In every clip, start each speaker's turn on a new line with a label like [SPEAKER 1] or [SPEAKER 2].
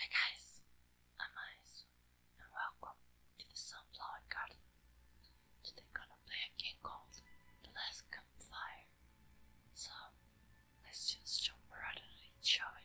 [SPEAKER 1] Hi guys, I'm Ice and welcome to the Sunflower Garden. Today I'm gonna play a game called The Last Campfire. So let's just jump right in and enjoy.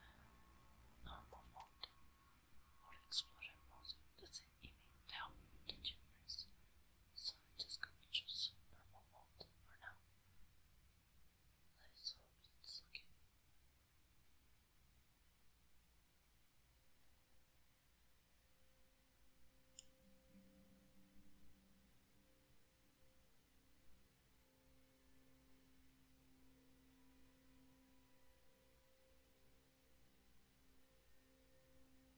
[SPEAKER 1] Um, Normal mode or explorer mode doesn't even tell me the so I'm just gonna choose purple mold for now. Let's hope it's okay.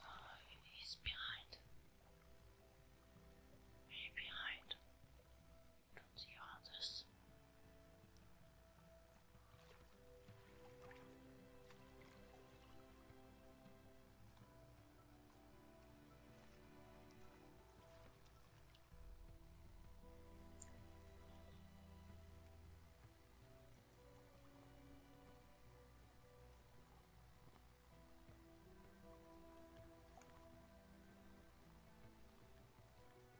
[SPEAKER 1] Oh, he's behind. Are you behind? Don't see all this.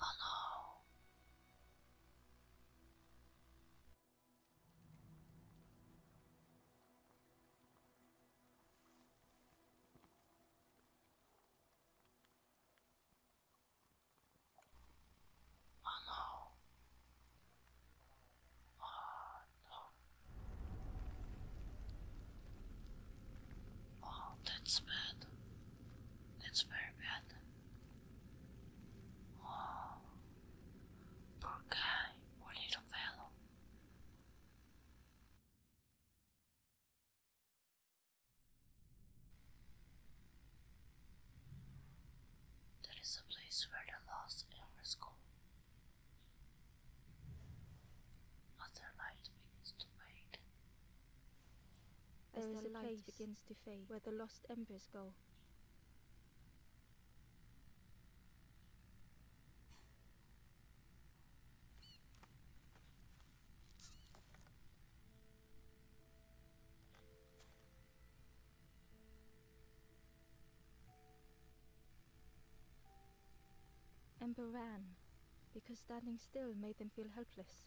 [SPEAKER 1] Oh no! Oh no! Oh no! Oh, that's bad. That's very bad. Oh, poor guy, poor little fellow. That is a place where the lost elders go. As their light begins
[SPEAKER 2] to fade, there as the a light place begins to fade where the lost embers go. Ember ran, because standing still made them feel helpless.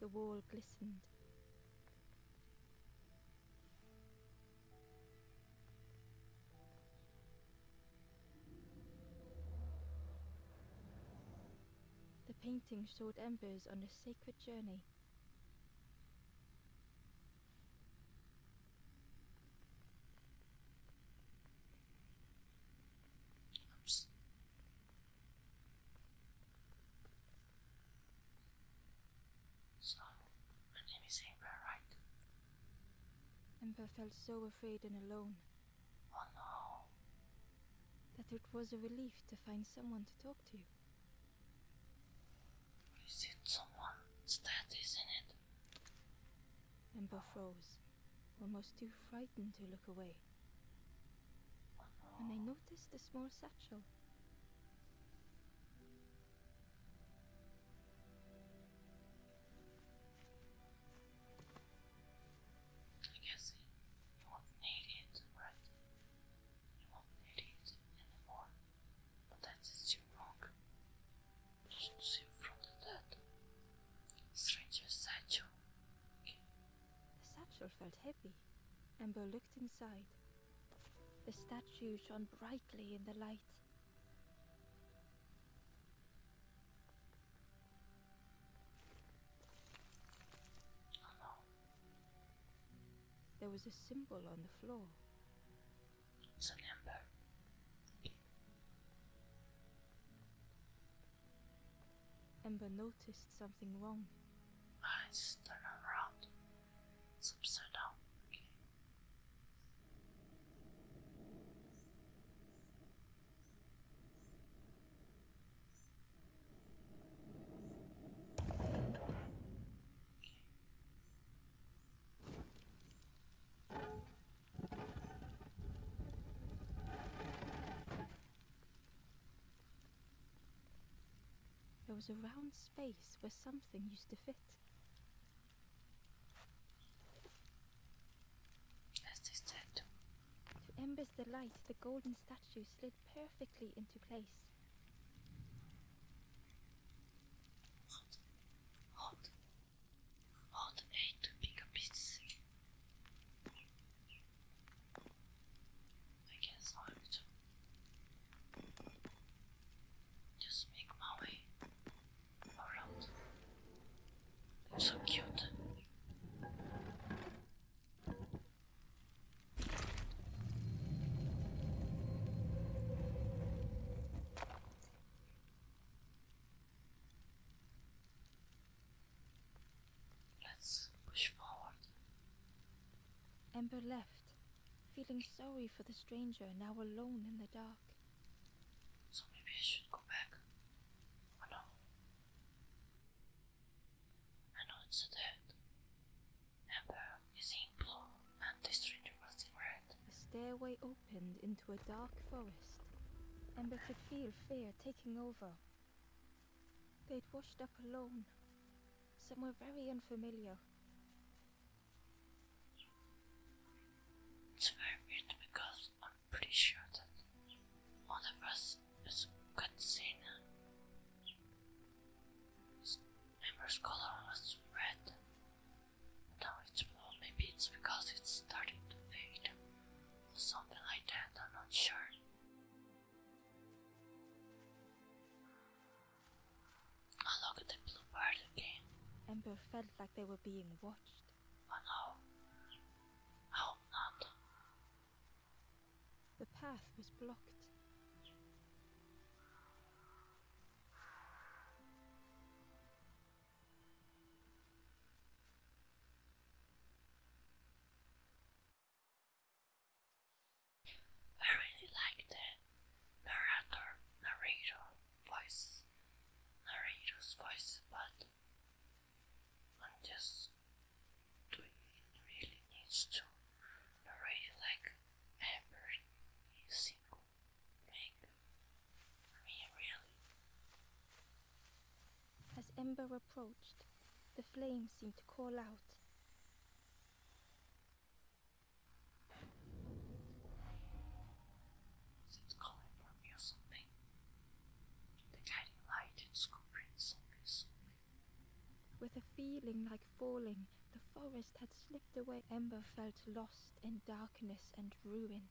[SPEAKER 2] The wall glistened. The painting showed embers on a sacred journey.
[SPEAKER 1] So, my name is Amber, right?
[SPEAKER 2] Amber felt so afraid and alone. Oh no. That it was a relief to find someone to talk to.
[SPEAKER 1] Is it someone's dead, isn't it?
[SPEAKER 2] Amber froze, almost too frightened to look away and they noticed a small satchel.
[SPEAKER 1] I guess you won't need it, right? You won't need it anymore. But that's just wrong. You see from the dead.
[SPEAKER 2] Stranger satchel. The satchel felt heavy. Amber looked inside. The statue shone brightly in the light. There was a symbol on the floor.
[SPEAKER 1] It's an ember.
[SPEAKER 2] Ember noticed something wrong.
[SPEAKER 1] Nice, turn around. It's
[SPEAKER 2] there was a round space where something used to fit. As they said. To Ember's delight, the golden statue slid perfectly into place.
[SPEAKER 1] Hot. Hold A to pick guess I'll just make my way around. It's so cute. Let's push forward.
[SPEAKER 2] Ember left, feeling sorry for the stranger now alone in the dark.
[SPEAKER 1] So maybe I should go back. I know. I know it's dead. Ember is in blue and the
[SPEAKER 2] stranger was in red. The stairway opened into a dark forest. Ember could feel fear over. They'd washed up alone, somewhere very unfamiliar.
[SPEAKER 1] It's very weird because I'm pretty sure that one of us is Katsina. His member's color was red. Now it's blue, maybe it's because it's starting to fade something like that, I'm not sure. I look at the blue bird again.
[SPEAKER 2] Ember felt like they were being watched.
[SPEAKER 1] Oh, no. hope not.
[SPEAKER 2] The path was blocked.
[SPEAKER 1] I really like the narrator, narrator voice, narrator's voice, but I'm just doing really needs to narrate like every single thing.
[SPEAKER 2] I mean, really. As Ember approached, the flames seemed to call out.
[SPEAKER 1] Seems calling for me or something. The guiding light and scooping something.
[SPEAKER 2] With a feeling like falling, the forest had slipped away. Ember felt lost in darkness and ruin.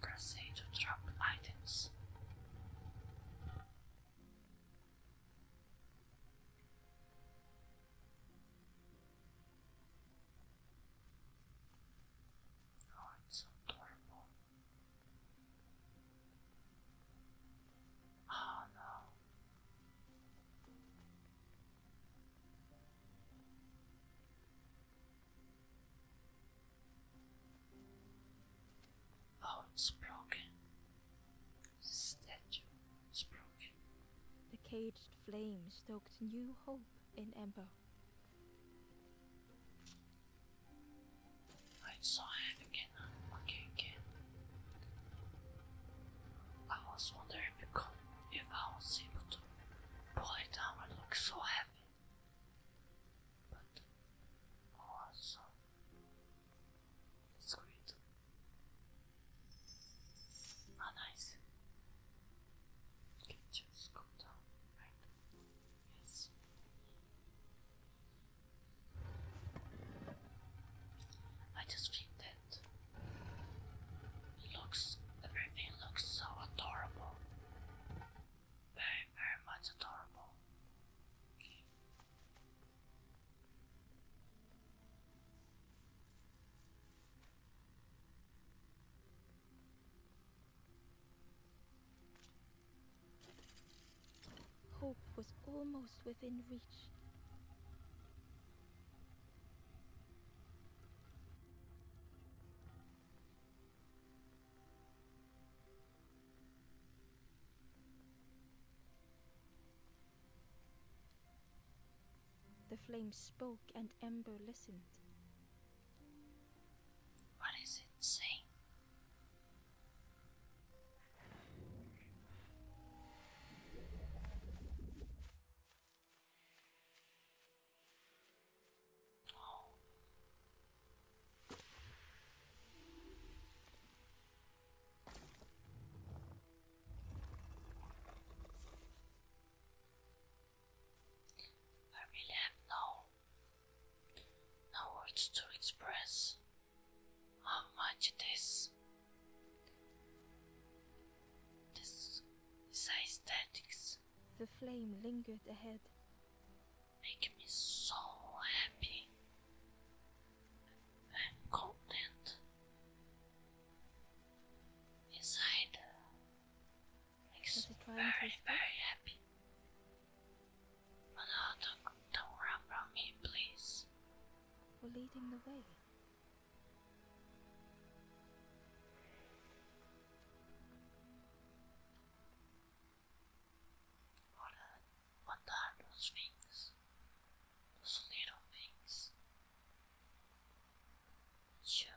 [SPEAKER 1] Press to drop items. Oh, it's so adorable. Oh no. Oh, it's broken. statue is broken.
[SPEAKER 2] The caged flame stoked new hope in Ember.
[SPEAKER 1] I saw it again. again. I was wondering if, could, if I was able to pull it down. It looks so heavy, but oh, also it's uh, great. Ah, nice. You just go down, Yes. I just think that it looks everything looks so adorable. Very, very much adorable.
[SPEAKER 2] Hope was almost within reach. The flame spoke and Ember listened.
[SPEAKER 1] What is it saying? I really have no, no words to express how much it is. This is aesthetics.
[SPEAKER 2] The flame lingered ahead.
[SPEAKER 1] Make me so happy and content. Inside,
[SPEAKER 2] Makes me very, very happy.
[SPEAKER 1] But uh, don't, don't run from me, please.
[SPEAKER 2] We're leading the way.
[SPEAKER 1] what uh, are those things? Those little things? Sure.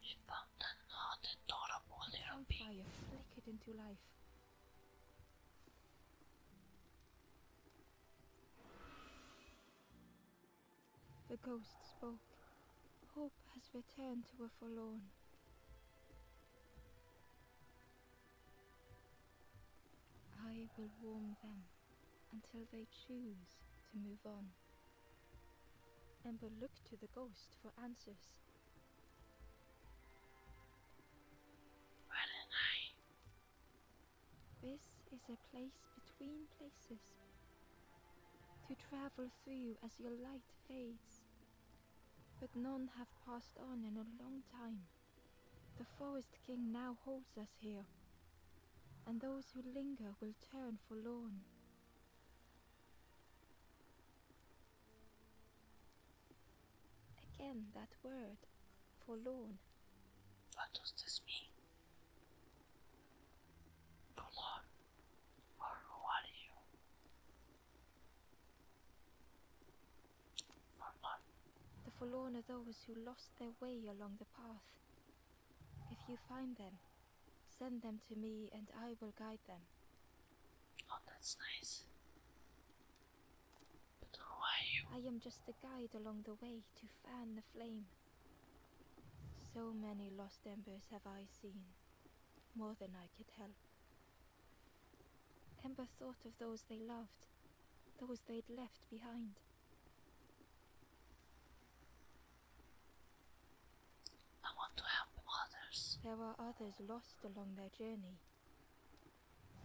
[SPEAKER 2] She found another adorable little into life. The ghost spoke. Hope has returned to a forlorn. I will warm them until they choose to move on. Ember looked to the ghost for answers.
[SPEAKER 1] Why did I
[SPEAKER 2] this is a place between places. To travel through as your light fades. But none have passed on in a long time. The Forest King now holds us here, and those who linger will turn forlorn. Again, that word, Forlorn.
[SPEAKER 1] What does this mean? Forlorn? Or who are you?
[SPEAKER 2] Forlorn. The forlorn are those who lost their way along the path. If you find them, send them to me and I will guide them.
[SPEAKER 1] Oh, that's nice.
[SPEAKER 2] I am just a guide along the way to fan the flame. So many lost embers have I seen, more than I could help. Ember thought of those they loved, those they'd left behind. I want to help others. There are others lost along their journey,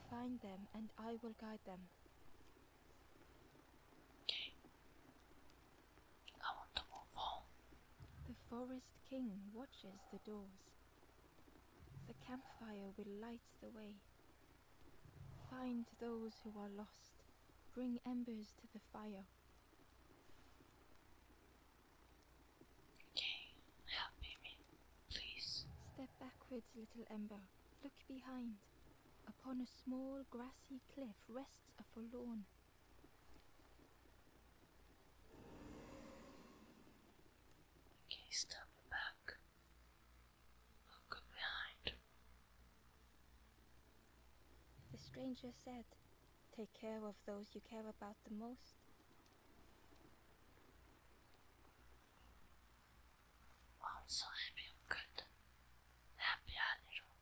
[SPEAKER 2] Find them, and I will guide them. Okay. on. The forest king watches the doors. The campfire will light the way. Find those who are lost. Bring embers to the fire. Okay, help me, please. Step backwards, little ember look behind. Upon a small grassy cliff rests a forlorn.
[SPEAKER 1] Okay, step back. Look behind.
[SPEAKER 2] The stranger said, Take care of those you care about the most.
[SPEAKER 1] I'm so happy I'm good. Happy a little.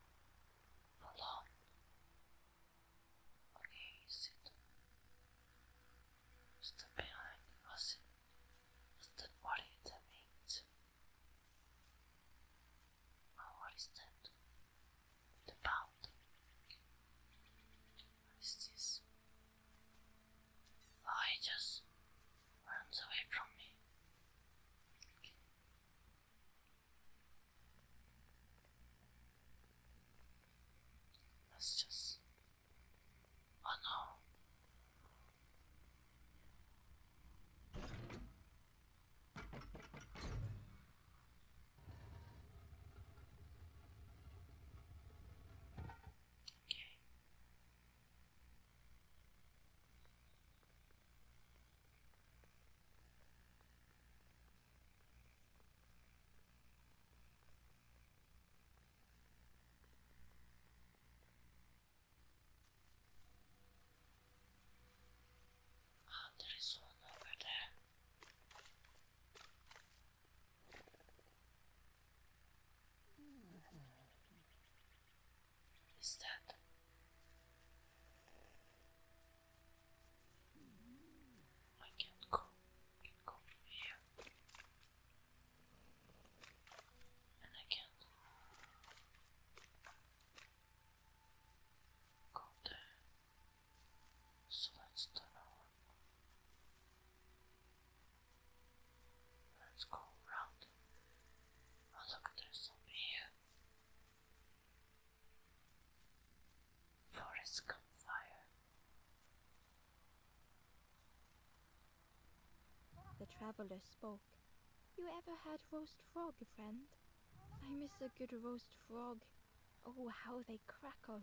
[SPEAKER 1] For long. Okay, sit. Step behind us. Is that what it means? Oh, that? The pound. What is this? Oh, he just runs away from me. Let's just. Oh no. Okay. Oh, there is one over there. Is that? I can't go. go here, and I can't go there. So let's turn Let's go around. look, there's something here. Forest campfire.
[SPEAKER 2] The traveler spoke. You ever had roast frog, friend? I miss a good roast frog. Oh, how they crackle.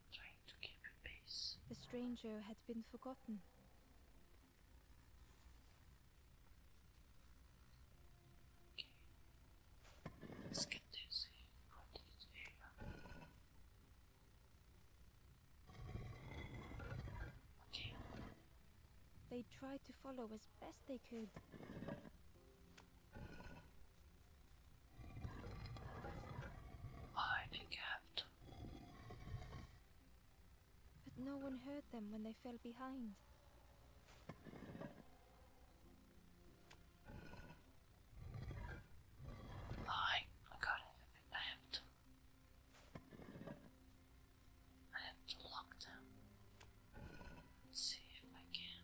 [SPEAKER 2] The stranger had been forgotten. They tried to follow as best they could.
[SPEAKER 1] I think I have to.
[SPEAKER 2] But no one heard them when they fell behind.
[SPEAKER 1] I, I gotta I have to. I have to lock them. see if I can.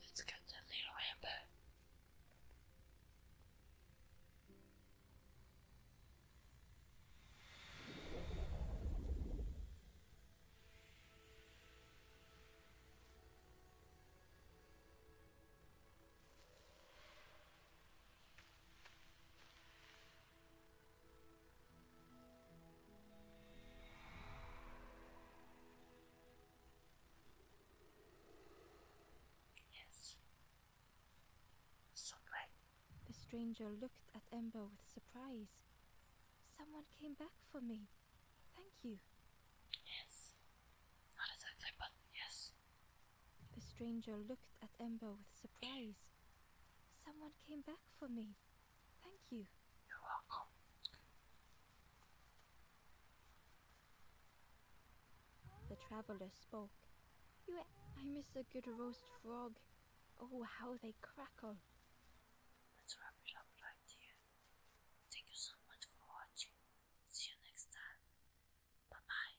[SPEAKER 1] Let's get the little hamper.
[SPEAKER 2] The stranger looked at Ember with surprise. Someone came back for me. Thank you.
[SPEAKER 1] Yes. Not exactly, but yes.
[SPEAKER 2] The stranger looked at Ember with surprise. Someone came back for me. Thank you. You're welcome. The traveler spoke. You, I miss a good roast frog. Oh, how they crackle.
[SPEAKER 1] Let's wrap it up right here. Thank you so much for watching. See you next time. Bye bye.